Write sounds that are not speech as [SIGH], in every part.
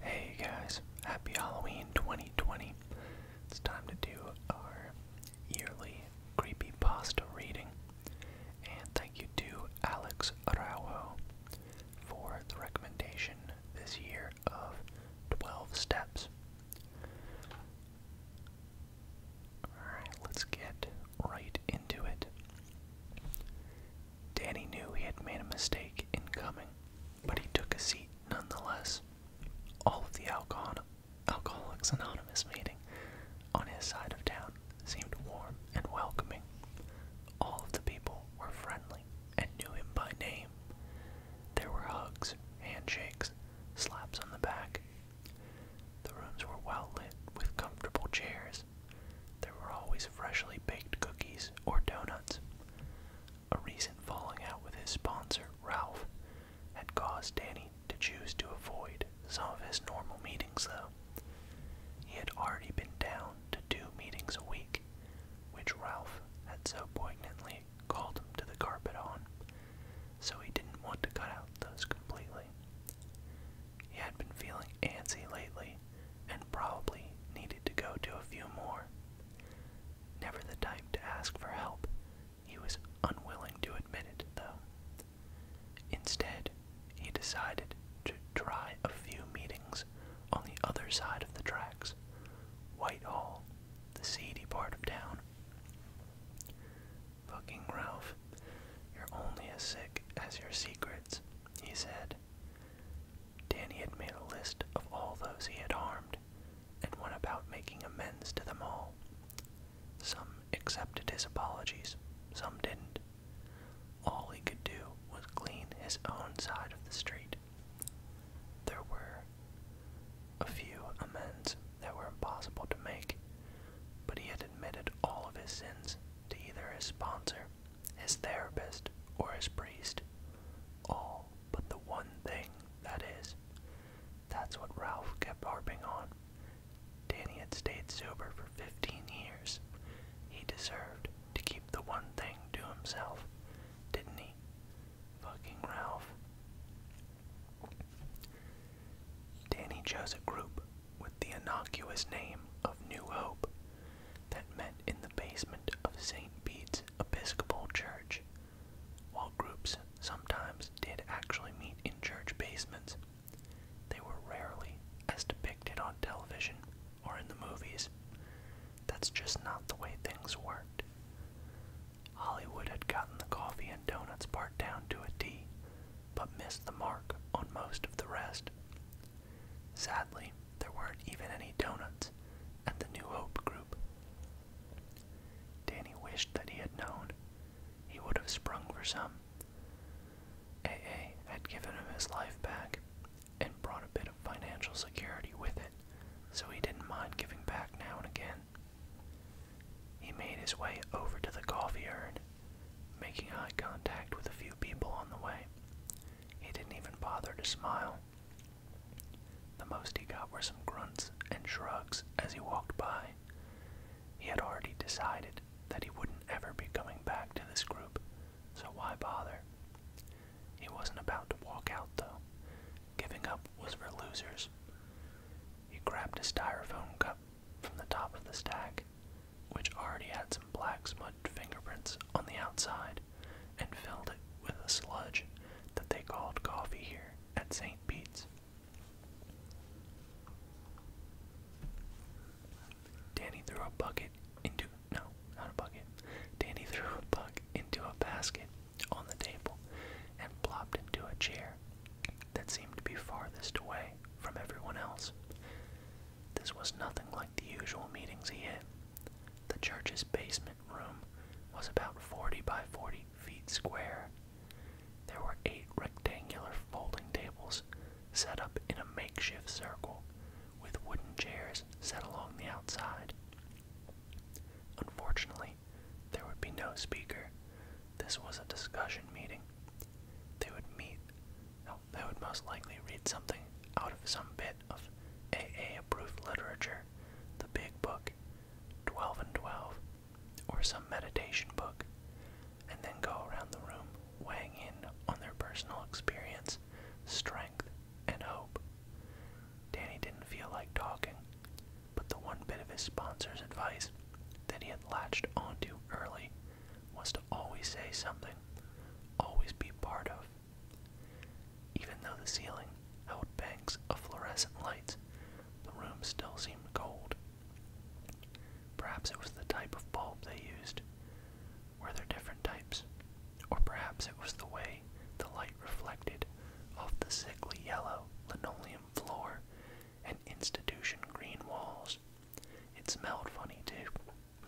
Hey guys, happy Halloween 2020. It's time to do our yearly creepy pasta reading. And thank you to Alex Araujo for the recommendation this year of 12 steps. Alright, let's get right into it. Danny knew he had made a mistake in coming, but he took a seat nonetheless. All of the alcohol Alcoholics Anonymous meeting on his side of town seemed warm and welcoming. All of the people were friendly and knew him by name. There were hugs, handshakes, slaps on the back. The rooms were well lit with comfortable chairs there were always freshly baked cookies or donuts. A recent falling out with his sponsor, Ralph, had caused Danny to choose to avoid some of his normal meetings, though. He had already been down to two meetings a week, which Ralph had so poignantly called him to the carpet on, so he didn't want to cut out those completely. He had been feeling antsy lately and probably needed to go to a few more. Never the type to ask for help, he was unwilling to admit it, though. Instead, he decided to try a few meetings on the other side of the tracks, Whitehall, the seedy part of town. Fucking Ralph, you're only as sick as your secrets, he said, Danny had made a list of all those he had harmed and went about making amends to them all. Some accepted his apologies, some didn't. All he could do was clean his own side of the street. There were a few amends that were impossible to make, but he had admitted all of his sins to either his sponsor his therapist, or his priest. All but the one thing, that is. That's what Ralph kept harping on. Danny had stayed sober for 15 years. He deserved to keep the one thing to himself, didn't he? Fucking Ralph. Danny chose a group with the innocuous name of New Hope that met in the basement of St. Bede's Episcopal Church. While groups sometimes did actually meet in church basements, they were rarely as depicted on television or in the movies. That's just not the way things worked. Hollywood had gotten the coffee and donuts part down to a T, but missed the mark on most of the rest. Sadly, there weren't even any donuts at the New Hope group. Danny wished that he had known. He would have sprung for some. A. had given him his life back and brought a bit of financial security with it, so he didn't mind giving back now and again. He made his way over to the coffee urn, making eye contact with a few people on the way. He didn't even bother to smile. The most he got were some grunts and shrugs as he walked by. He had already decided that he wouldn't ever be coming back to this group, so why bother? He wasn't about to walk out, though. Giving up was for losers. He grabbed a styrofoam cup from the top of the stack, which already had some black smudged fingerprints on the outside, and filled it with a sludge that they called coffee here at St. Pete's. Danny threw a bucket into no, not a bucket. Danny [LAUGHS] threw a buck into a basket on the table and plopped into a chair that seemed to be farthest away from everyone else. This was nothing like the usual meetings he had the church's basement room was about 40 by 40 feet square. There were eight rectangular folding tables set up in a makeshift circle with wooden chairs set along the outside. Unfortunately, there would be no speaker. This was a discussion meeting. They would meet. No, they would most likely read something out of some bit of AA-approved literature, the Big Book, 12 and 12, or some meditation book, and then go around the room weighing in on their personal experience, strength, and hope. Danny didn't feel like talking, but the one bit of his sponsor's advice that he had latched onto early was to always say something, always be part of, even though the ceiling held banks of fluorescent lights, the room still seemed cold. Perhaps it was the type of bulb they used. Were there different types? Or perhaps it was the way the light reflected off the sickly yellow linoleum floor and institution green walls. It smelled funny, too.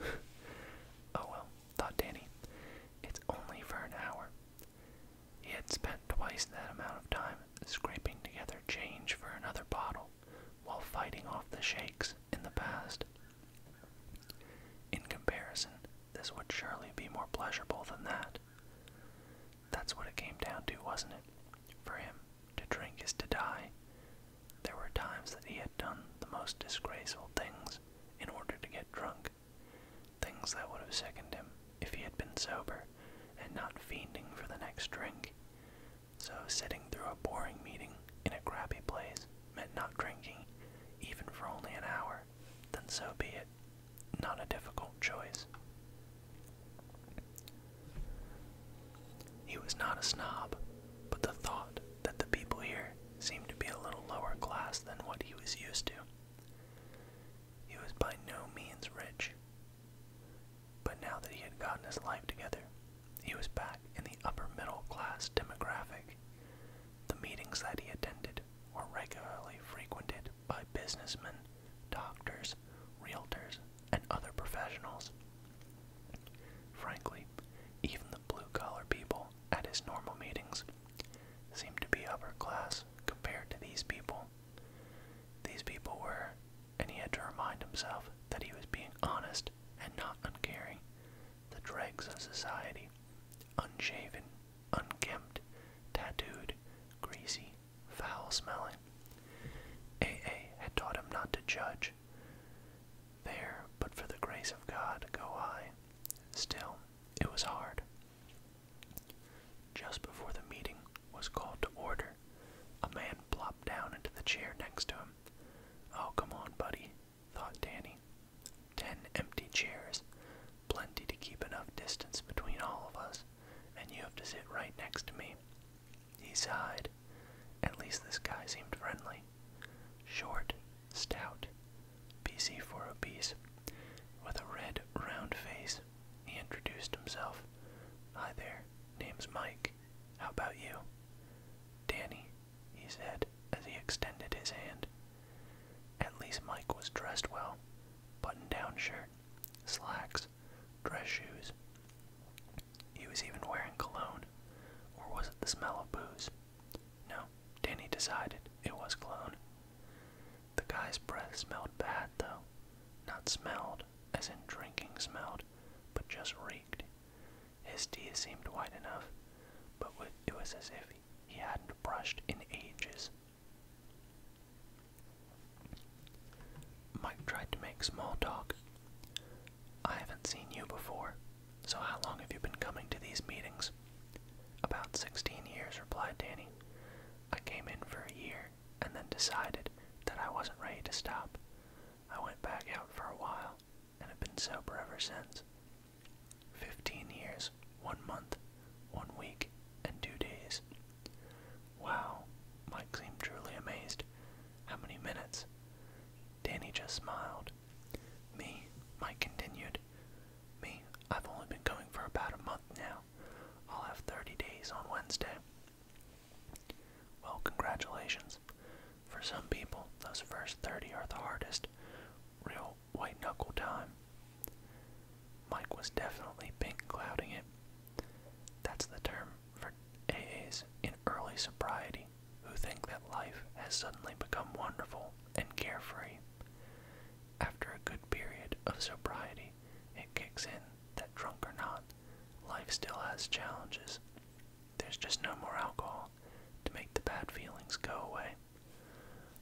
[LAUGHS] oh well, thought Danny. It's only for an hour. He had spent twice that amount of time scraping together change for another bottle while fighting off the shakes in the past. In comparison, this would surely be more pleasurable than that. That's what it came down to, wasn't it? For him, to drink is to die. There were times that he had done the most disgraceful things in order to get drunk. Things that would have sickened him if he had been sober and not fiending for the next drink. So, sitting through a boring meeting in a crappy place meant not drinking, even for only an hour, then so be it. Not a difficult choice. He was not a snob, but the thought that the people here seemed to be a little lower class than what he was used to he was by no means rich, but now that he had gotten his life together, he was back in the upper middle class demographic. The meetings that he attended were regularly frequented by businessmen, doctors, realtors, and other professionals. Frankly, even the blue collar people at his normal meetings seemed to be upper class compared to these people. These people were, and he had to remind himself that he was being honest and not uncaring, the dregs of society, unshaven, unkempt, tattooed, greasy, foul smelling. A.A. had taught him not to judge. There, but for the grace of God, go I. Still, it was hard. Just before the meeting was called to order, a man plopped down into the chair next to him. Oh, come on, buddy, thought Danny. Ten empty chairs, plenty to keep enough distance between all of us, and you have to sit right next to me. He sighed. At least this guy seemed friendly. Short, stout, P.C. for obese, with a red, round face. He introduced himself. Hi there, name's Mike. How about you? Danny, he said as he extended his hand. At least Mike was dressed well button down shirt, slacks, dress shoes. He was even wearing cologne. Or was it the smell of booze? No, Danny decided it was cologne. The guy's breath smelled bad, though. Not smelled, as in drinking smelled, but just reeked. His teeth seemed white enough, but it was as if he hadn't brushed in ages. Mike tried to make small talk. I haven't seen you before, so how long have you been coming to these meetings? About sixteen years, replied Danny. I came in for a year and then decided that I wasn't ready to stop. I went back out for a while and have been sober ever since. Fifteen years, one month, one week, and two days. Wow, Mike seemed truly amazed. How many minutes? Danny just smiled. Me, Mike continued. Me, I've only been going for about a month now. I'll have 30 days on Wednesday. Well, congratulations. For some people, those first 30 are the hardest. Real white knuckle time. Mike was definitely pink clouding it. That's the term for AAs in early sobriety who think that life has suddenly become wonderful and carefree. After a good period of sobriety, it kicks in that drunk or not, life still has challenges. There's just no more alcohol to make the bad feelings go away.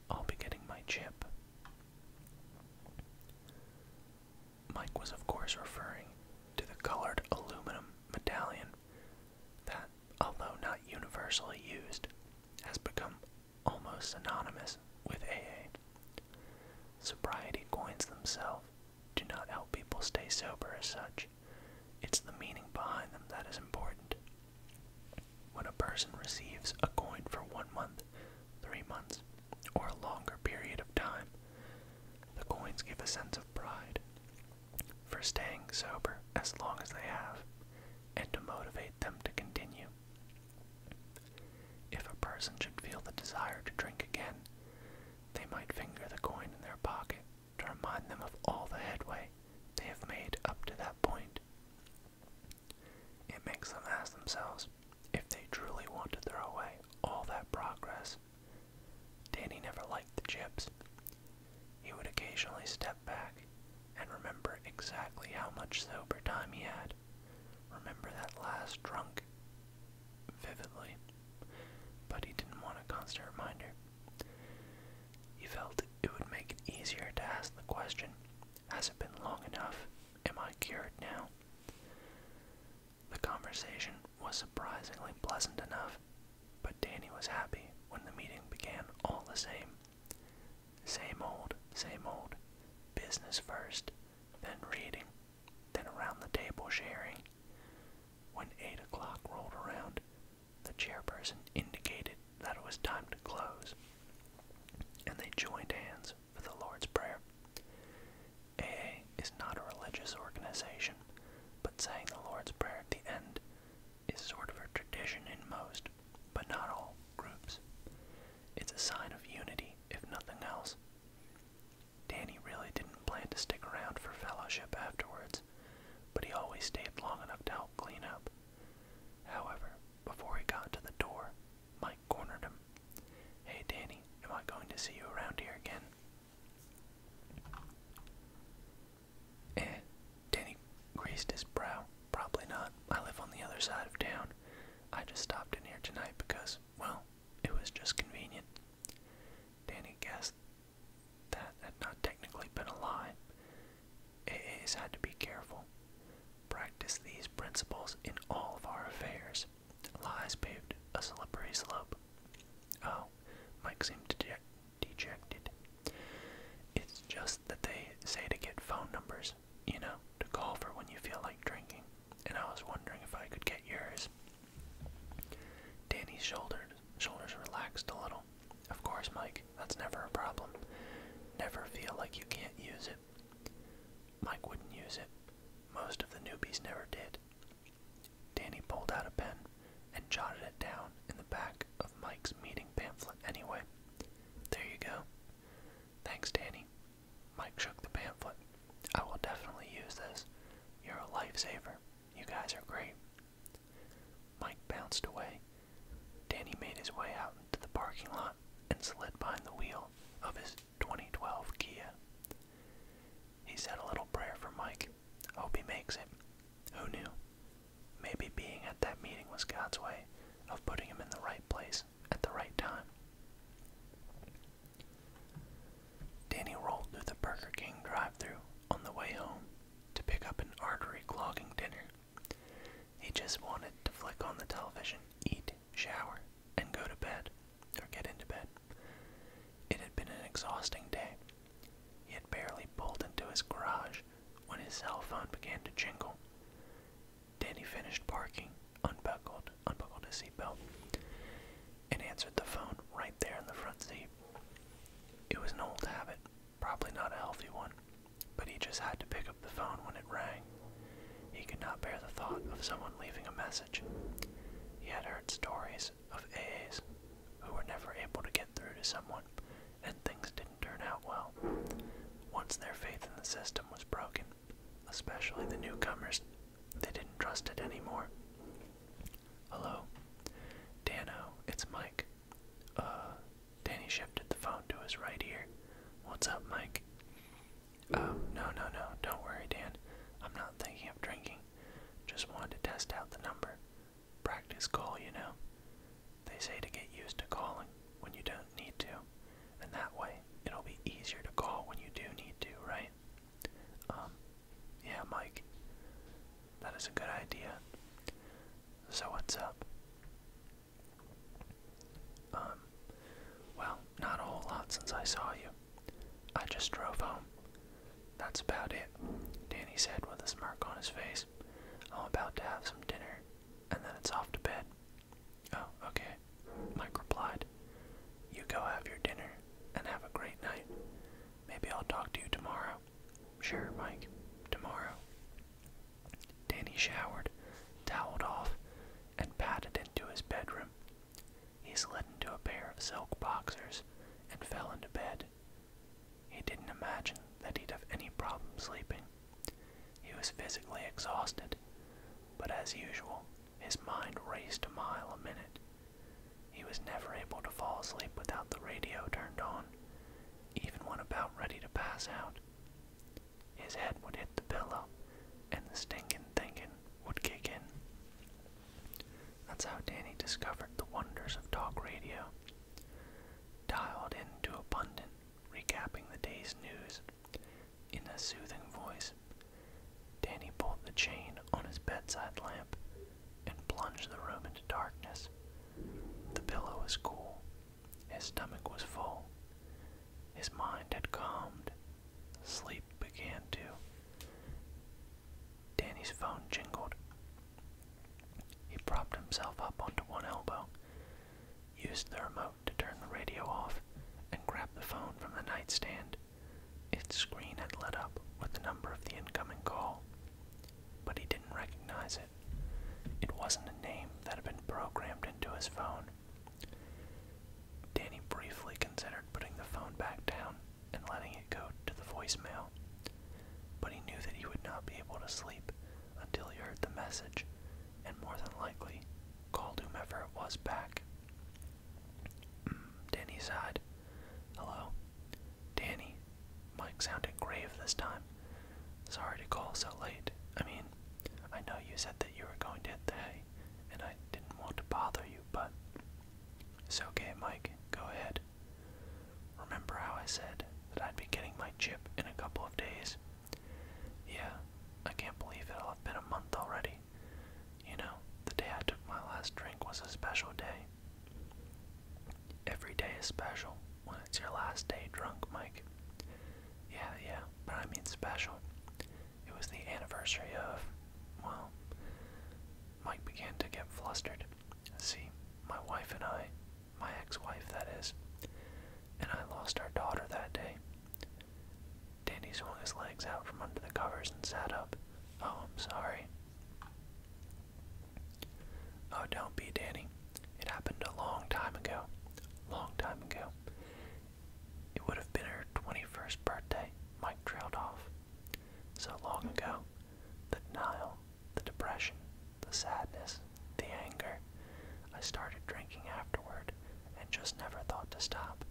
I'll be getting my chip. Mike was, of course, referring to the colored aluminum medallion that, although not universally used, has become almost synonymous with AA. Sobriety coins themselves do not help people stay sober as such. It's the meaning behind them that is important. When a person receives a coin for one month, three months, or a longer period of time, the coins give a sense of pride for staying sober as long as they have and to motivate them to continue. If a person should feel the desire to drink again, they might finger the coin in their pocket to remind them of all the headway they have made up to that point. It makes them ask themselves if they truly want to throw away all that progress. Danny never liked the chips. He would occasionally step back and remember exactly how much sober time he had. Remember that last drunk vividly, but he didn't want a constant reminder. He felt it would make it easier to ask the question Has it been long enough? Am I cured now? The conversation was surprisingly pleasant enough, but Danny was happy when the meeting began all the same. Same old, same old. Business first, then reading, then around the table sharing. When eight o'clock rolled around, the chairperson indicated that it was time to close, and they joined hands for the Lord's Prayer. AA is not a religious organization, but saying the Lord's Prayer at the end is sort of a tradition in most but not all, groups. It's a sign of unity, if nothing else. Danny really didn't plan to stick around for fellowship afterwards, but he always stayed long enough to help clean up. However, before he got to the door, Mike cornered him. Hey Danny, am I going to see you around here again? Eh, Danny greased his brow. Probably not. I live on the other side of town. I just stopped in here tonight because, well, it was just convenient. Danny guessed that had not technically been a lie. AAs had to be careful. Practice these principles in all of our affairs. Lies paved a slippery slope. Oh, Mike seemed dejected. It's just that they say to get phone numbers you know, to call for when you feel like drinking. And I was wondering if I could get yours. Danny's shoulders shoulders relaxed a little. Of course, Mike, that's never a problem. Never feel like you can't use it. Mike wouldn't use it. Most of the newbies never did. Danny pulled out a pen and jotted it down in the back of Mike's meeting pamphlet anyway. There you go. Thanks, Danny. Mike shook the pamphlet. I will definitely use this. You're a lifesaver. You guys are great. Mike bounced away. Danny made his way out into the parking lot and slid behind the wheel of his 2012 Kia. He said a little prayer for Mike. Hope he makes it. Who knew? Maybe being at that meeting was God's way of putting him in the right place at the right time. Danny rolled through the Burger King drive thru on the way home to pick up an artery clogging dinner. He just wanted to flick on the television, eat, shower, and go to bed, or get into bed. It had been an exhausting day. He had barely pulled into his garage when his cell phone began to jingle. Danny finished parking, unbuckled, unbuckled his seatbelt, and answered the phone right there in the front seat. It was an old habit, probably not a healthy one, but he just had to pick up the phone when it rang. He could not bear the thought of someone leaving a message. He had heard stories of AAs who were never able to get through to someone, and things didn't turn out well. Once their faith in the system was broken, especially the newcomers. They didn't trust it anymore. Hello? Dano, it's Mike. Uh, Danny shifted the phone to his right ear. What's up, Mike? Oh, no, no, no, don't worry, Dan. I'm not thinking of drinking. Just wanted to test out the number. Practice call, you know. They say to get used to calling when you don't need to, and that way it'll be easier to call when you do need to, right? Um, yeah, Mike, that is a good idea. So what's up? Um, well, not a whole lot since I saw you. I just drove home. That's about it, Danny said with a smirk on his face. I'm about to have some dinner and then it's off to bed. Oh, okay. Mike replied, You go have your dinner and have a great night. Maybe I'll talk to you tomorrow. Sure, Mike, tomorrow. Danny showered, toweled off, and padded into his bedroom. He slid into a pair of silk boxers and fell into bed. He didn't imagine that he'd have any problem sleeping. He was physically exhausted, but as usual, his mind raced a mile a minute. He was never able to fall asleep without the radio turned on, even when about ready to pass out. His head would hit the pillow, and the stinking thinking would kick in. That's how Danny discovered the wonders of talk radio. Dialed into abundant, recapping the day's news in a soothing voice, Danny pulled the chain on his bedside lamp and plunged the room into darkness. The pillow was cool, his stomach was full, his mind had calmed, sleep began to. Danny's phone jingled. He propped himself up onto one elbow, used the remote to turn the radio off and grab the phone from the nightstand. Its screen had lit up with the number of the incoming call, but he didn't recognize it. It wasn't a name that had been programmed into his phone. Danny briefly considered putting the phone back down and letting it go to the voicemail, but he knew that he would not be able to sleep until he heard the message and more than likely called whomever it was back. Mm, Danny sighed. Hello? Danny. Mike sounded grave this time. Sorry to call so late. I mean, I know you said that you were going to hit the hay, and I didn't want to bother you, but. It's okay, Mike. Go ahead. Remember how I said that I'd be getting my chip in a couple of days? Yeah, I can't believe it'll have been a month already. You know, the day I took my last drink was a special day. Every day is special when it's your last day drunk, Mike. Yeah, yeah, but I mean special. It was the anniversary of, well, Mike began to get flustered. See, my wife and I, my ex wife, that is, and I lost our daughter that day. Danny swung his legs out from under the covers and sat up. Oh, I'm sorry. Oh, don't be, Danny. It happened a long time ago. Long time ago. It would have been her 21st birthday, Mike trailed off. So long ago, the denial, the depression, the sadness, the anger. I started drinking afterward, and just never thought to stop.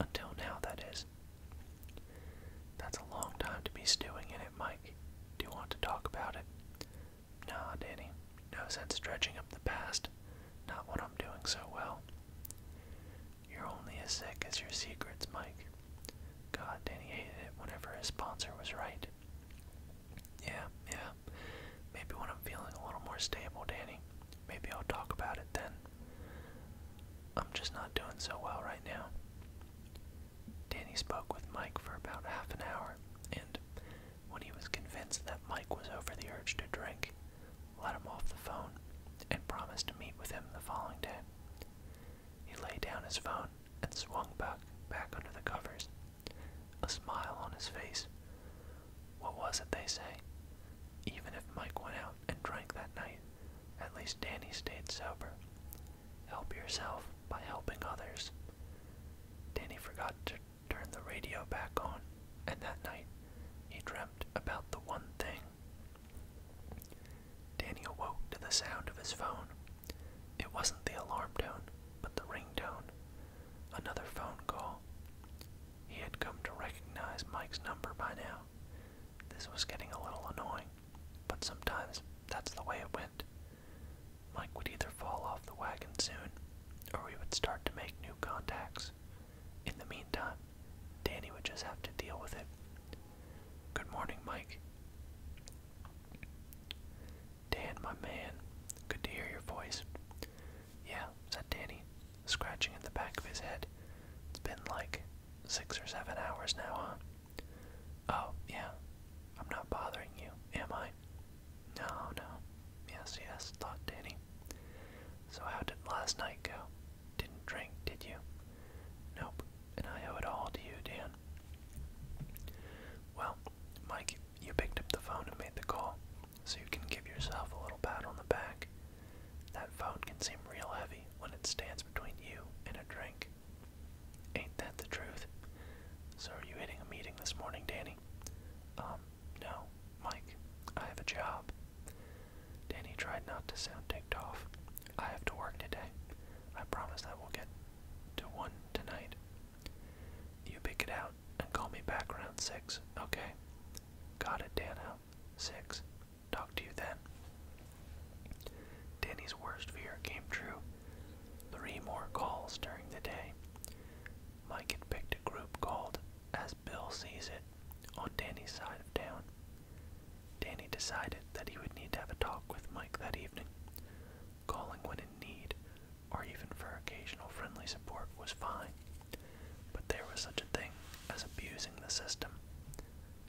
Until now, that is. That's a long time to be stewing in it, Mike. Do you want to talk about it? Nah, Danny. No sense dredging up the past. Not when I'm doing so well. You're only as sick as your secrets, Mike. God, Danny hated it whenever his sponsor was right. Yeah, yeah, um, maybe when I'm feeling a little more stable, Danny. Maybe I'll talk about it then. I'm just not doing so well right now. Danny spoke with Mike for about half an hour, and when he was convinced that Mike was over the urge to drink, let him off the phone and promised to meet with him the following day. He laid down his phone and swung back back under the covers, a smile on his face, what was it they say? Even if Mike went out and drank that night, at least Danny stayed sober. Help yourself by helping others. Danny forgot to turn the radio back on, and that night he dreamt about the one thing. Danny awoke to the sound of his phone. It wasn't the alarm tone, but the ringtone. Another phone call. He had come to recognize Mike's number by now. This was getting a little annoying, but sometimes that's the way it went. Mike would either fall off the wagon soon, or we would start to make new contacts. In the meantime, Danny would just have to deal with it. Good morning, Mike. Dan, my man, good to hear your voice. Yeah, said Danny, scratching at the back of his head. It's been like six or seven hours now, huh? Oh, yeah. I'm not bothering you, am I? No, no. Yes, yes, thought Danny. So how did last night go? Didn't drink, did you? Nope, and I owe it all to you, Dan. Well, Mike, you picked up the phone and made the call so you can give yourself a little pat on the back. That phone can seem real heavy when it stands between you and a drink. Ain't that the truth? So, are you hitting a meeting this morning, Danny? Um, no, Mike, I have a job. Danny tried not to sound ticked off. I have to work today. I promise I will get to one tonight. You pick it out, and call me back around 6, okay? Got it, Danny. 6. Talk to you then. Danny's worst fear came true. Three more calls during the day. Mike had picked a group called As Bill Sees It on Danny's side of town. Danny decided that he would need to have a talk with Mike that evening. Calling when in need, or even for occasional friendly support, was fine. But there was such a thing as abusing the system.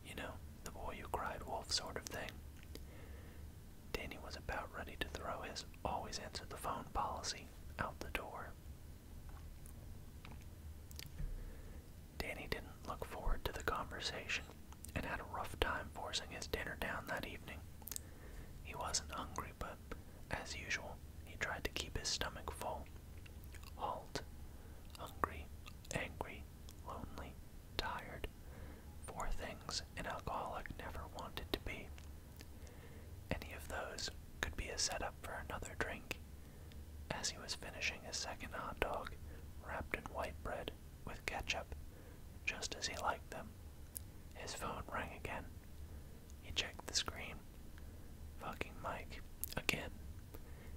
You know, the boy who cried wolf sort of thing. Danny was about ready to throw his always answer the phone policy out the door. Danny didn't look forward to the conversation and had a rough time forcing his dinner down that evening. He wasn't hungry, but as usual, he tried to keep his stomach full. Halt, hungry, angry, lonely, tired. Four things an alcoholic never wanted to be. Any of those could be a setup for another drink. As he was finishing his second hot dog, wrapped in white bread with ketchup, just as he liked them, his phone rang again. He checked the screen. Fucking Mike. Again.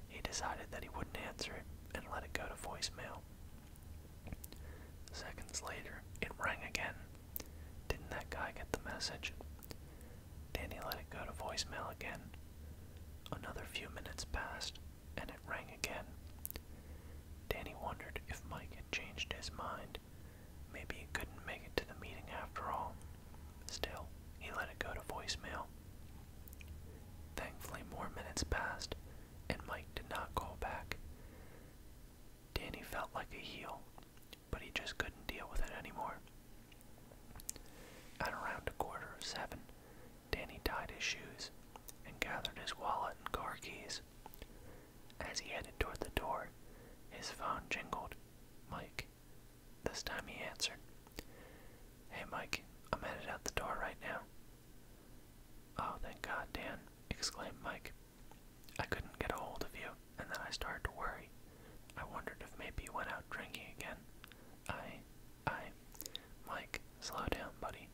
He decided that he wouldn't answer it and let it go to voicemail. Seconds later, it rang again. Didn't that guy get the message? Danny let it go to voicemail again. Another few minutes passed, and it rang again. Danny wondered if Mike had changed his mind. Maybe he couldn't make it to the meeting after all. Still, he let it go to voicemail. Thankfully, more minutes passed, and Mike did not call back. Danny felt like a heel, but he just couldn't deal with it anymore. At around a quarter of seven, Danny tied his shoes and gathered his wallet and car keys. As he headed toward the door, his phone jingled. Mike this time he answered. Hey, Mike, I'm headed out the door right now. Oh, thank God, Dan, exclaimed Mike. I couldn't get a hold of you, and then I started to worry. I wondered if maybe you went out drinking again. I, I, Mike, slow down, buddy.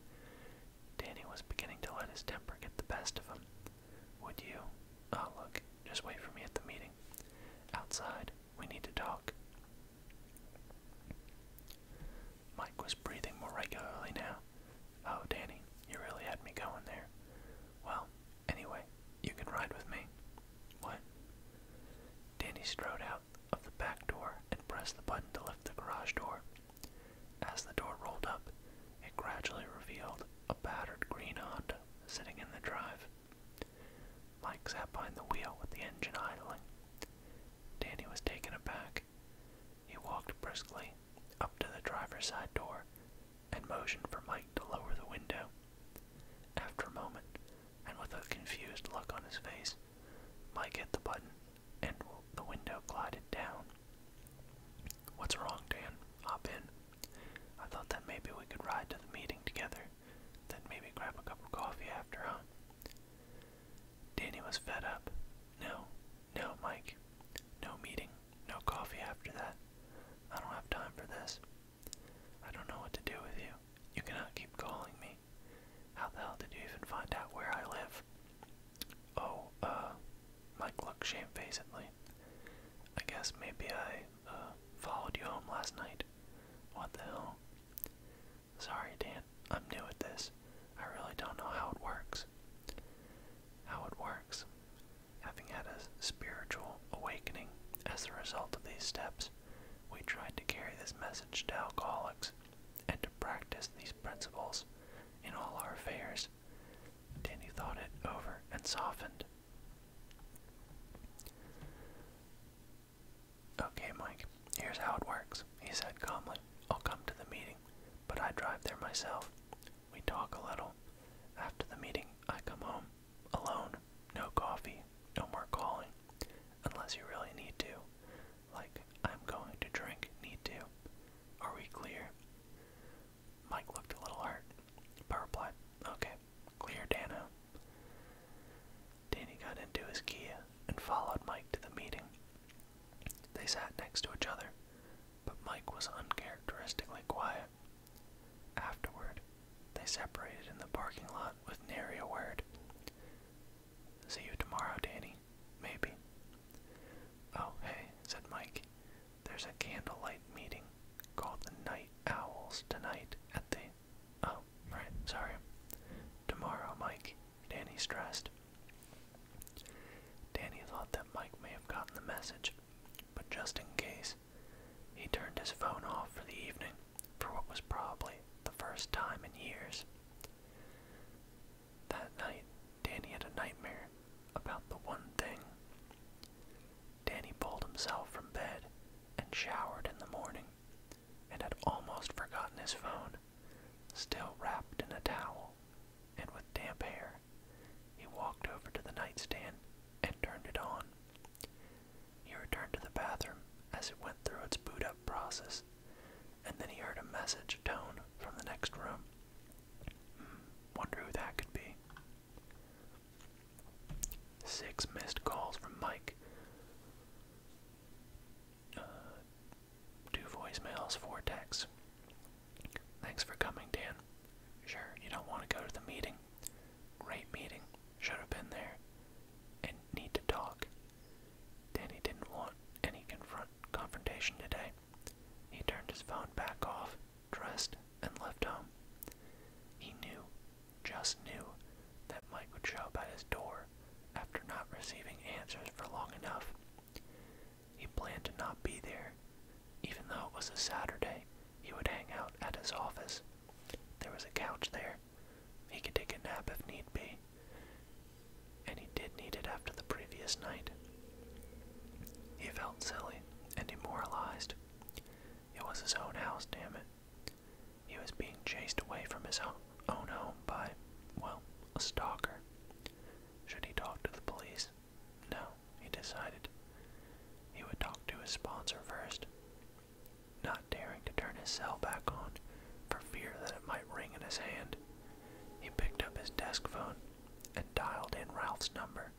Danny was beginning to let his temper get the best of him. Would you? Oh, look, just wait for me at the meeting. Outside, we need to talk. Mike was breathing more regularly now. Oh, Danny, you really had me going there. Well, anyway, you can ride with me. What? Danny strode out of the back door and pressed the button to lift the garage door. As the door rolled up, it gradually revealed a battered green Honda sitting in the drive. Mike sat behind the wheel with the engine idling. Danny was taken aback. He walked briskly up to the driver's side door and motioned for Mike to lower the window. After a moment, and with a confused look on his face, Mike hit the button and the window glided down. What's wrong, Dan? Hop in. I thought that maybe we could ride to the meeting together. Then maybe grab a cup of coffee after, huh? Danny was fed up. No, no, Mike. No meeting, no coffee after that. I don't have time for this. I don't know what to do with you. You cannot keep calling me. How the hell did you even find out where I live? Oh, uh, Mike looked shamefacedly. I guess maybe I uh, followed you home last night. What the hell? Sorry, Dan. I'm new at this. I really don't know how it works. How it works. Having had a spiritual awakening as a result of these steps, we tried to carry this message to alcoholics and to practice these principles in all our affairs. Danny thought it over and softened. Okay, Mike, here's how it works, he said calmly. I'll come to the meeting, but I drive there myself. We talk a little. After the meeting, I come home. Alone. No coffee. No more calling. Unless you really need to. Like, I'm going to drink, need to. Are we clear? Mike looked a little hurt, but Okay, Clear Dana. Danny got into his Kia and followed Mike to the meeting. They sat next to each other, but Mike was uncharacteristically quiet. Afterward, they separated in the parking lot with nary a word. See you tomorrow, Danny. Maybe. Oh, hey, said Mike. There's a candlelight meeting called the Night Owls tonight at the Oh, right, sorry. Tomorrow, Mike, Danny stressed. Danny thought that Mike may have gotten the message, but just in case, he turned his phone off for the evening for what was probably the first time in years. That night, Danny had a nightmare about the one thing. Danny pulled himself from bed and showered in the morning and had almost forgotten his phone, still wrapped in a towel and with damp hair. He walked over to the nightstand and turned it on. He returned to the bathroom as it went through its boot up process, and then he heard a message tone from the next room. Hmm, wonder who that could be. Six missed calls from Mike. Uh, two voicemails, for Tex. Thanks for coming, Dan. Sure, you don't want to go to the meeting. Great meeting. Should have been there. And need to talk. Dan didn't want any confront confrontation today. He turned his phone back off, dressed, and left home. He knew just knew that Mike would show up at his door after not receiving answers for long enough. He planned to not be there. Even though it was a Saturday, he would hang out at his office. There was a couch there. He could take a nap if need be. And he did need it after the previous night. He felt silly and demoralized. It was his own house, damn it. He was being chased away from his own home by, well, a stalker. Should he talk to the police? No, he decided. He would talk to his sponsor first. Not daring to turn his cell back on for fear that it might ring in his hand, he picked up his desk phone and dialed in Ralph's number.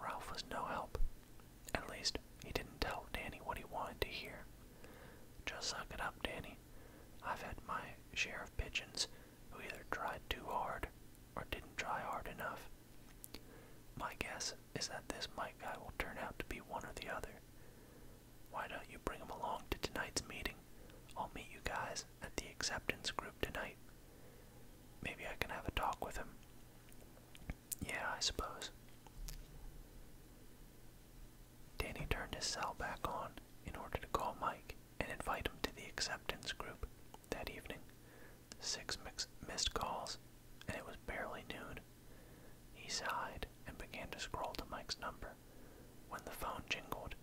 Ralph was no help. At least, he didn't tell Danny what he wanted to hear. Just suck it up, Danny. I've had my share of pigeons who either tried too hard or didn't try hard enough. My guess is that this Mike guy will turn out to be one or the other. Why don't you bring him along to tonight's meeting? I'll meet you guys at the acceptance group tonight. Maybe I can have a talk with him. Yeah, I suppose. Danny turned his cell back on in order to call Mike and invite him to the acceptance group that evening. Six missed calls, and it was barely noon. He sighed and began to scroll to Mike's number when the phone jingled.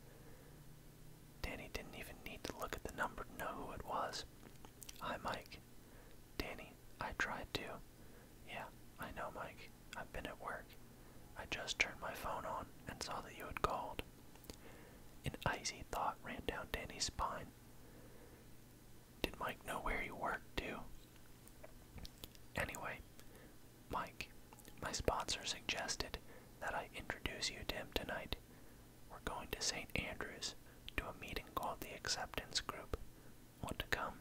Danny didn't even need to look at the number to know who it was. Hi, Mike. Danny I tried to. Yeah, I know, Mike. I've been at work. I just turned my phone on and saw that you had called. An icy thought ran down Danny's spine. Did Mike know where you worked, too? Anyway, Mike, my sponsor suggested that I introduce you to him tonight. We're going to St. Andrews to a meeting called the Acceptance Group, what to come.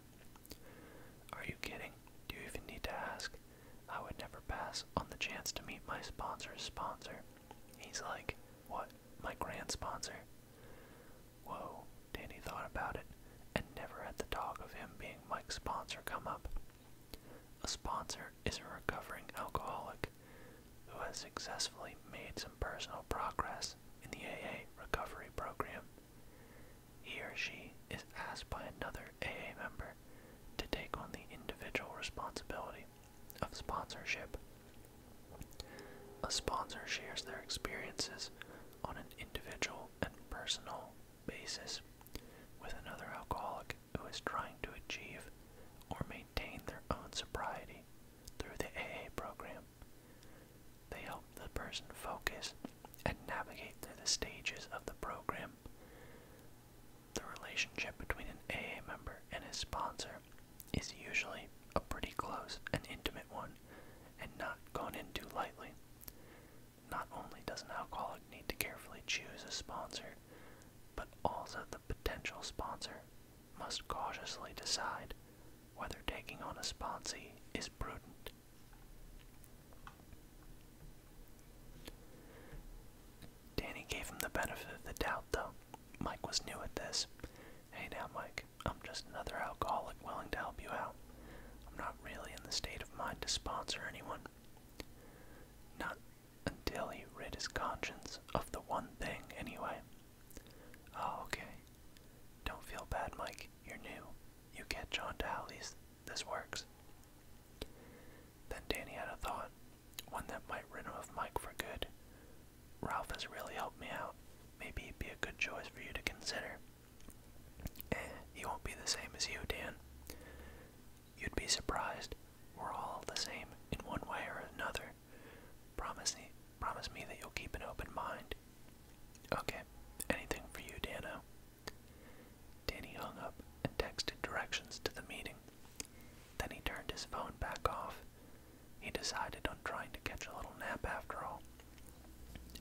Are you kidding? Do you even need to ask? I would never pass on the chance to meet my sponsor's sponsor. He's like, what? My grand sponsor? Whoa, Danny thought about it, and never had the talk of him being Mike's sponsor come up. A sponsor is a recovering alcoholic who has successfully made some personal progress in the AA recovery program he or she is asked by another AA member to take on the individual responsibility of sponsorship. A sponsor shares their experiences on an individual and personal basis with another alcoholic who is trying to achieve or maintain their own sobriety through the AA program. They help the person focus and navigate through the stages of the program. The relationship between an AA member and his sponsor is usually a pretty close and intimate one and not gone too lightly. Not only does an alcoholic need to carefully choose a sponsor, but also the potential sponsor must cautiously decide whether taking on a sponsee is prudent. Danny gave him the benefit of the doubt, though. Mike was new at this. Hey now, Mike, I'm just another alcoholic willing to help you out. I'm not really in the state of mind to sponsor anyone. Not until he rid his conscience of the one thing, anyway. Oh, okay. Don't feel bad, Mike. You're new. You catch on to how this works. Then Danny had a thought, one that might rid him of Mike for good. Ralph has really helped me out. Maybe it would be a good choice for you to consider. Eh, he won't be the same as you, Dan. You'd be surprised. We're all the same in one way or another. Promise me, promise me that you'll keep an open mind. Okay, anything for you, Dano. Danny hung up and texted directions to the meeting. Then he turned his phone back off. He decided on trying to catch a little nap after all,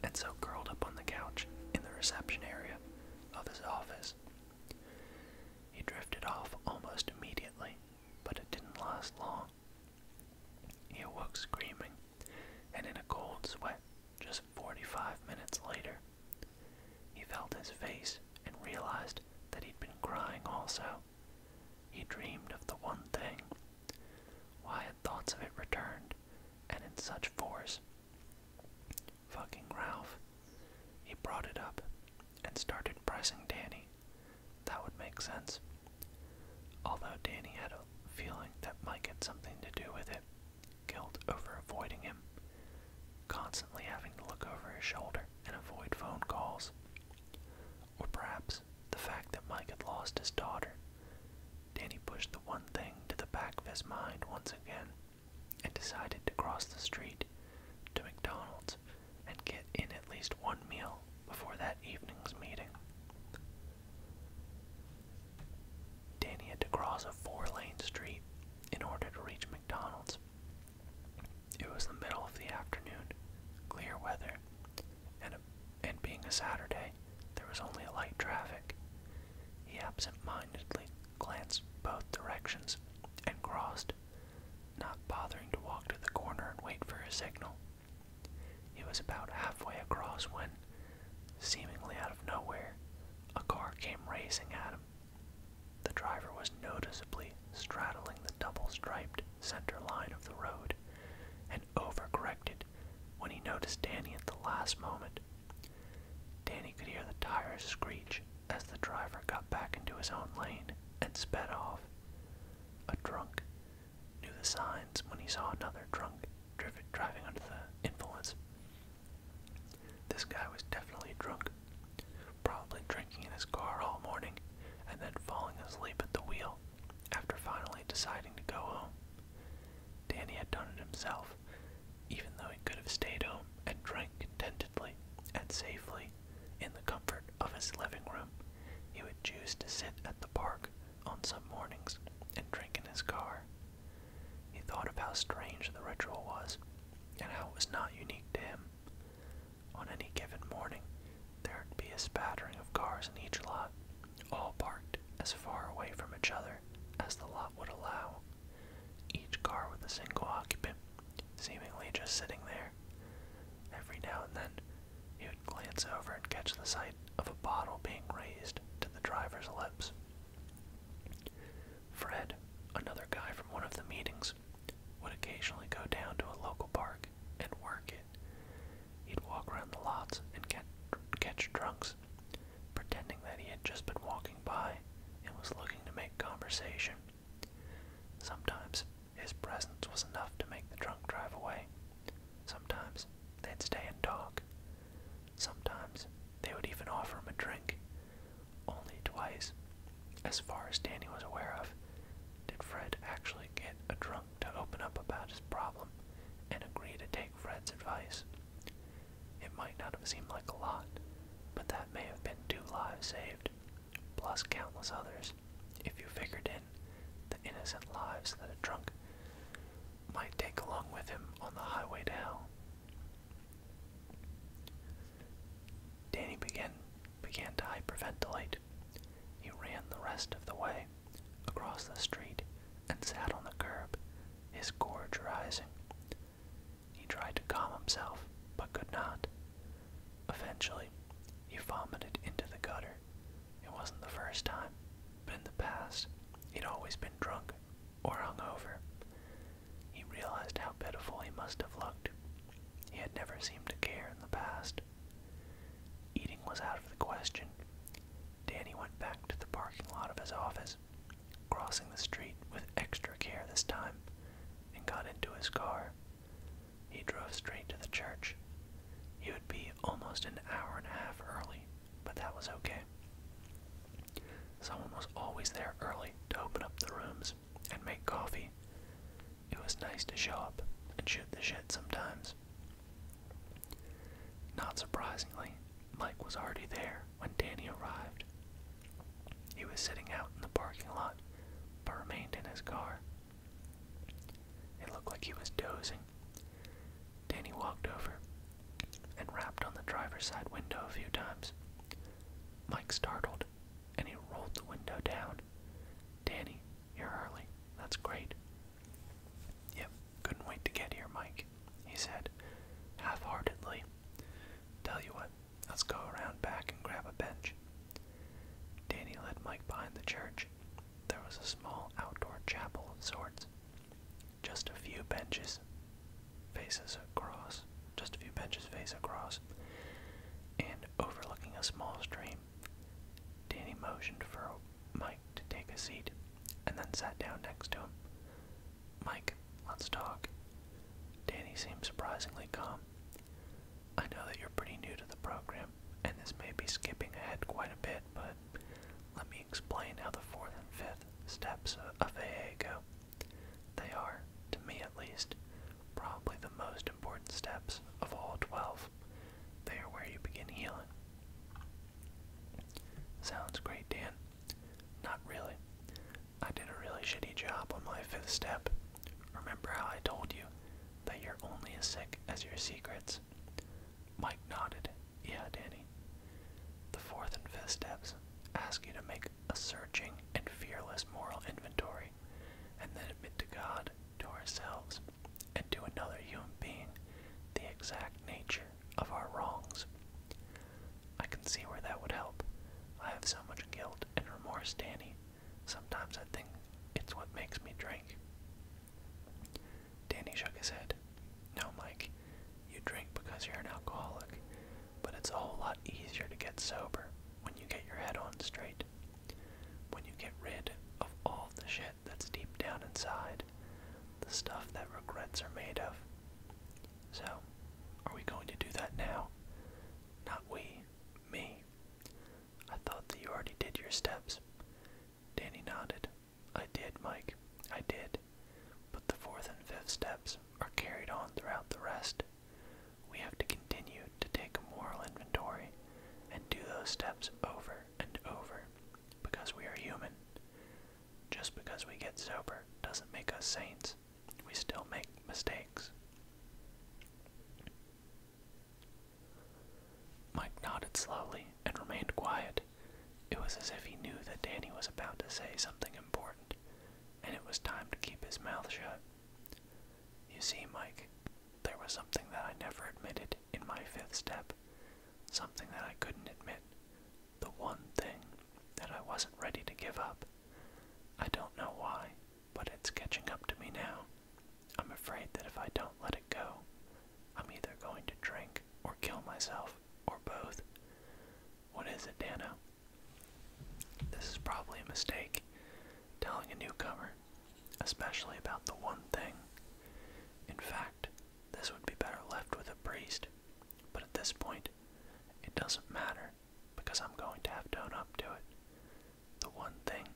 and so curled up on the couch in the reception area of his office. He drifted off almost immediately, but it didn't last long. He awoke screaming, and in a cold sweat just 45 minutes later, he felt his face and realized that he'd been crying also. He dreamed of the one thing. Why had thoughts of it returned, and in such force? Fucking Ralph. He brought it up and started pressing Danny. That would make sense. Although Danny had a feeling that might get something to do with it guilt over avoiding him, constantly having to look over his shoulder and avoid phone calls. Or perhaps the fact that Mike had lost his daughter. Danny pushed the one thing to the back of his mind once again and decided to cross the street to McDonald's and get in at least one meal before that evening's meeting. Danny had to cross a four lane street in order to reach McDonald's. It was the middle of the afternoon, clear weather, and, being a Saturday, there was only a light traffic. He absent-mindedly glanced both directions and crossed, not bothering to walk to the corner and wait for a signal. He was about halfway across when, seemingly out of nowhere, a car came racing at him. The driver was noticeably straddling the double striped center line of the road and overcorrected when he noticed Danny at the last moment. Danny could hear the tires screech as the driver got back into his own lane and sped off. A drunk knew the signs when he saw another drunk driven, driving under the influence. This guy was definitely drunk, probably drinking in his car all morning and then falling asleep at the wheel after finally deciding to go home. Danny had done it himself, even though he could have stayed home and drank contentedly and safely in the comfort of his living room. He would choose to sit at the park on some mornings and drink in his car he thought of how strange the ritual was, and how it was not unique to him. On any given morning, there'd be a spattering of cars in each lot, all parked as far away from each other as the lot would allow, each car with a single occupant, seemingly just sitting there. Every now and then, he would glance over and catch the sight of a bottle being raised to the driver's lips. Fred, another guy from one of the meetings, would occasionally go down to a local park and work it. He'd walk around the lots and catch, catch drunks, pretending that he had just been walking by and was looking to make conversation. Sometimes his presence was enough to make the drunk drive away. Sometimes they'd stay and talk. Sometimes they would even offer him a drink. Only twice, as far as Danny was aware of, did Fred actually get a drunk to open up about his problem and agree to take Fred's advice. It might not have seemed like a lot, but that may have been two lives saved, plus countless others, if you figured in the innocent lives that a drunk might take along with him on the highway to hell. Danny began, began to hyperventilate. He ran the rest of the way, across the street, and sat on the curb, his gorge rising. He tried to calm himself, but could not. Eventually, he vomited into the gutter. It wasn't the first time, but in the past, he'd always been drunk or hungover. He realized how pitiful he must have looked. He had never seemed to care in the past. Eating was out of the question. Danny went back to the parking lot of his office, crossing the street with extra care this time, and got into his car. He drove straight to the church. He would be almost an hour and a half early but that was okay. Someone was always there early to open up the rooms and make coffee. It was nice to show up and shoot the shit sometimes. Not surprisingly, Mike was already there when Danny arrived. He was sitting out in the parking lot, but remained in his car. It looked like he was dozing. Danny walked over and rapped on the driver's side window a few times. Mike startled, and he rolled the window down. Danny, you're early. That's great. Yep, couldn't wait to get here, Mike, he said, half heartedly. Tell you what, let's go around back and grab a bench. Danny led Mike behind the church. There was a small outdoor chapel of sorts just a few benches faces across, just a few benches face across, and overlooking a small stream. Danny motioned for Mike to take a seat and then sat down next to him. Mike, let's talk. Danny seemed surprisingly calm. I know that you're pretty new to the program, and this may be skipping ahead quite a bit, but let me explain how the fourth and fifth steps of AA go. They are, to me at least, probably the most important steps of all 12. They are where you begin healing. Sounds great, Dan. Not really. I did a really shitty job on my fifth step. Remember how I told you that you're only as sick as your secrets? Mike nodded yeah, Danny. The fourth and fifth steps ask you to make a searching and fearless moral inventory, and then admit to God, to ourselves, and to another human being the exact nature of our wrongs. I can see where that would help. I have so much guilt and remorse, Danny. Sometimes I think it's what makes me drink. Danny shook his head. No, Mike, you drink because you're an alcoholic, but it's a whole lot easier to get sober when you get your head on straight. When you get rid of all the shit that's deep down inside, the stuff that regrets are made of. So, are we going to do that now? Not we, me. I thought that you already did your steps. Danny nodded. I did, Mike. I did. But the fourth and fifth steps are carried on throughout the rest. We have to continue to take a moral inventory and do those steps over and over because we are human. Just because we get sober doesn't make us saints. We still make mistakes. Mike nodded slowly and remained quiet. It was as if he knew that Danny was about to say something important, and it was time to keep his mouth shut. You see, Mike, there was something that I never admitted in my fifth step, something that I couldn't admit, the one thing that I wasn't ready to give up. I don't know why, but it's catching up to me now. I'm afraid that if I don't let it go, I'm either going to drink or kill myself, or both. What is it, Dana? This is probably a mistake, telling a newcomer, especially about the one thing. In fact, this would be better left with a priest, but at this point, it doesn't matter because I'm going to have to own up to it. The one thing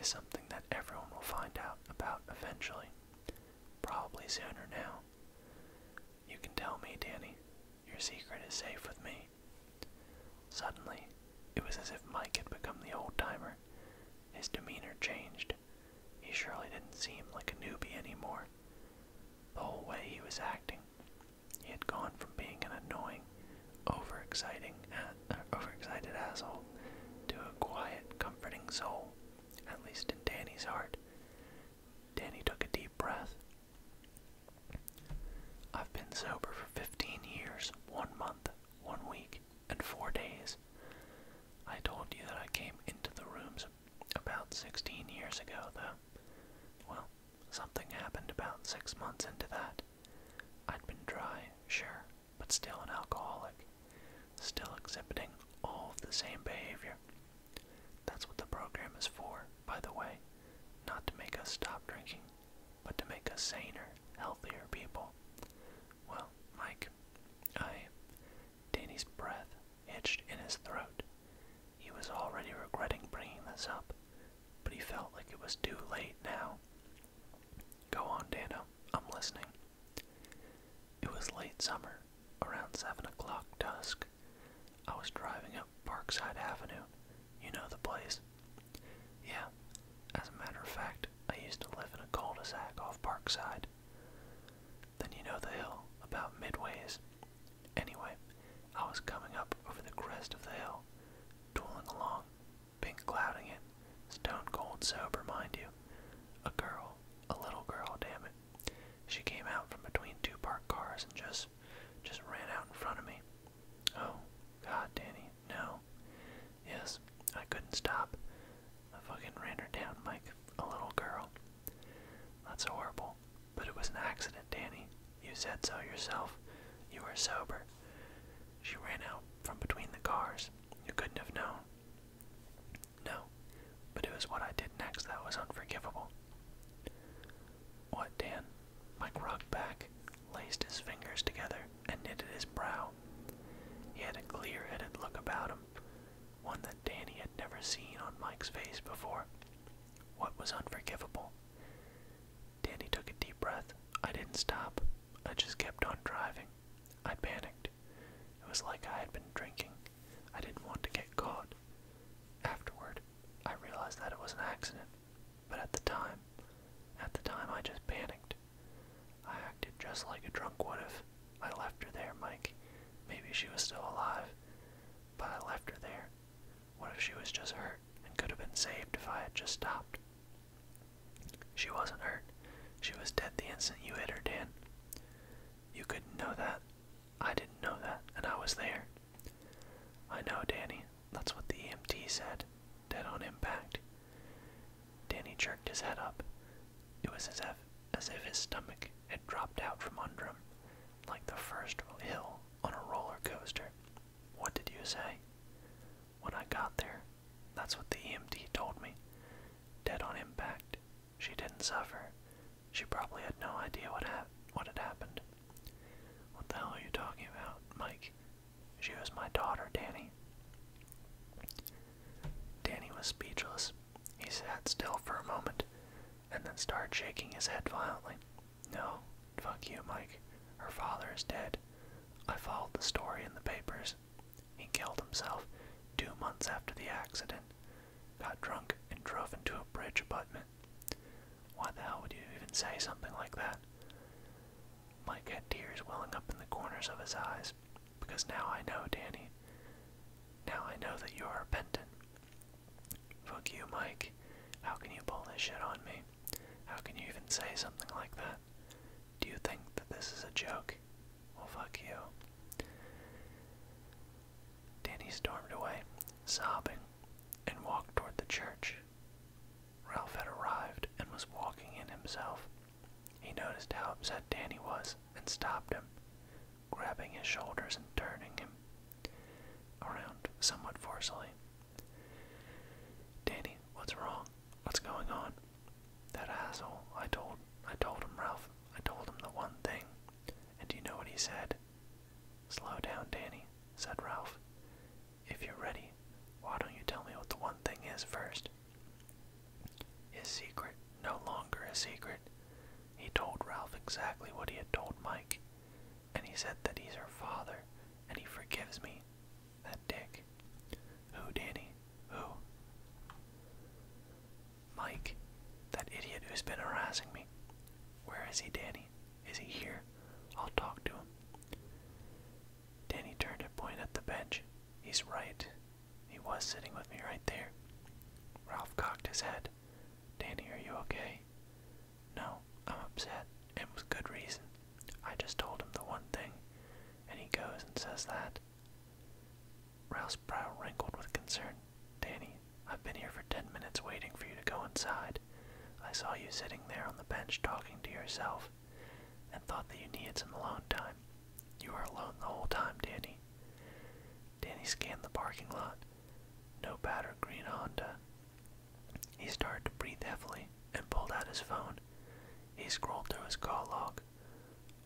is something that everyone will find out about eventually, probably sooner now. You can tell me, Danny. Your secret is safe with me. Suddenly, it was as if Mike had become the old timer. His demeanor changed. He surely didn't seem like a newbie anymore. The whole way he was acting, he had gone from being an annoying, overexciting, uh, overexcited asshole to a quiet, comforting soul, at least in Danny's heart. Danny took a deep breath. I've been sober for 15 years, one month, one week, and four days. I told you that I came into the rooms about 16 years ago, though. Well, something happened about six months into that. I'd been dry, sure, but still an alcoholic, still exhibiting all of the same behavior. That's what the program is for, by the way. Not to make us stop drinking, but to make us saner, healthier people. Well, Mike, I. Danny's breath hitched in his throat. He was already regretting bringing this up, but he felt like it was too late now. Go on, Dano. I'm listening. It was late summer, around seven o'clock dusk, I was driving up Parkside Avenue. You know the place? Yeah. As a matter of fact, I used to live in a cul-de-sac off Parkside. Then you know the hill, about midways. Anyway, I was coming up over the crest of the hill, tooling along, pink clouding it, stone cold sober, mind you. A girl, a little girl, damn it, she came out from between two parked cars and just just ran out in front of me. Oh, God, Danny, no. Yes, I couldn't stop. I fucking ran her down like a little girl. That's horrible. But it was an accident, Danny. You said so yourself. You were sober. She ran out from between the cars. You couldn't have known. No, but it was what I did next that was unforgivable. What, Dan? Mike rocked back, laced his fingers together, and knitted his brow. He had a clear headed look about him, one that Danny had never seen on Mike's face before. What was unforgivable? Danny took a deep breath. I didn't stop. I just kept on driving. I panicked. It was like I had been drinking. I didn't want to get caught. Afterward, I realized that it was an accident, but at the time, at the time I just panicked. I acted just like a drunk would have. I left her there, Mike. Maybe she was still alive, but I left her there. What if she was just hurt and could have been saved if I had just stopped? She wasn't hurt. She was dead the instant you hit her, Dan. You couldn't know that. I didn't know that, and I was there. I know, Danny. That's what the EMT said. Dead on impact. Danny jerked his head up. It was as if, as if his stomach had dropped out from under him, like the first hill on a roller coaster. What did you say? When I got there, that's what the EMT told me. Dead on impact. She didn't suffer. She probably had no idea what, ha what had happened. What the hell are you talking about, Mike? She was my daughter, Danny. Danny was speechless. He sat still for a moment and then started shaking his head violently. No, fuck you, Mike. Her father is dead. I followed the story in the papers. He killed himself two months after the accident, got drunk, and drove into a bridge abutment. Why the hell would you even say something like that? Mike had tears welling up in the corners of his eyes, because now I know, Danny. Now I know that you are repentant. Fuck you, Mike. How can you pull this shit on me? How can you even say something like that? Do you think that this is a joke? Well, fuck you. Danny stormed away, sobbing and walked toward the church. Ralph had arrived and was walking in himself. He noticed how upset Danny was and stopped him, grabbing his shoulders and turning him around somewhat forcibly. Danny, what's wrong? What's going on? That asshole, I told I told him, Ralph. I told him the one thing. And do you know what he said? Slow down, Danny, said Ralph. If you're ready, why don't you tell me what the one thing is first? His secret, no longer a secret. He told Ralph exactly what he had told Mike, and he said that he's her father, and he forgives me. That dick. Who, Danny? Who? Mike, that idiot who's been harassing me. Where is he, Danny? Is he here? I'll talk to him. Danny turned and pointed at the bench. He's right. He was sitting with me right there. Ralph cocked his head. Danny, are you okay? No, I'm upset, and with good reason. I just told him the one thing, and he goes and says that. Ralph's brow wrinkled with concern. Danny, I've been here for ten minutes waiting for you to go inside. I saw you sitting there on the bench talking to yourself and thought that you needed some alone time. You were alone the whole time, Danny. Danny scanned the parking lot. No batter green Honda. He started to breathe heavily and pulled out his phone. He scrolled through his call log.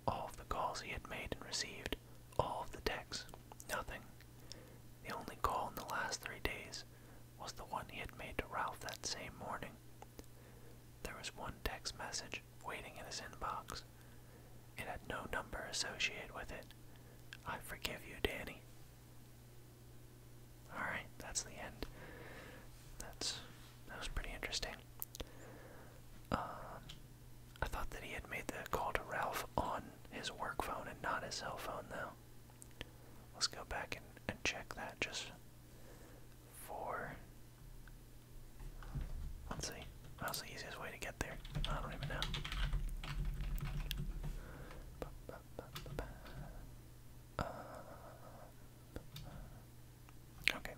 All of the calls he had made and received, all of the texts. Nothing the only call in the last three days was the one he had made to Ralph that same morning. There was one text message waiting in his inbox. It had no number associated with it. I forgive you, Danny. Alright, that's the end. That's that was pretty interesting. Um I thought that he had made the call to Ralph on his work phone and not his cell phone, though. Let's go back and, and check that just for. Let's see. That's the easiest way to get there. I don't even know. okay.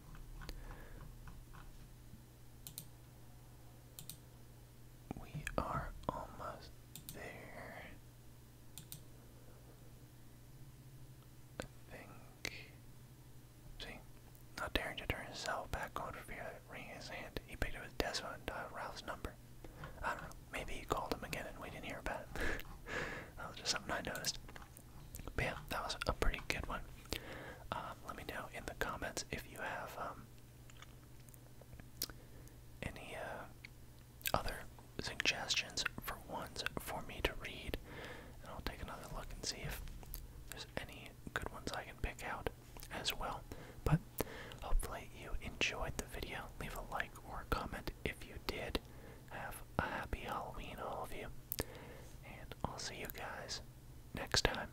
We are almost there. I think. See, not daring to turn his cell back on for fear of ringing his hand, he picked up his and Ralph's number. I don't know, maybe he called him again and we didn't hear about [LAUGHS] that was just something I noticed. But yeah, that was a pretty good one. Um, let me know in the comments if you have um, any uh, other suggestions for ones for me to read? And I'll take another look and see if there's any good ones I can pick out as well. But hopefully you enjoyed the video. Leave a like or comment if you did. Have a happy Halloween, all of you. And I'll see you guys next time.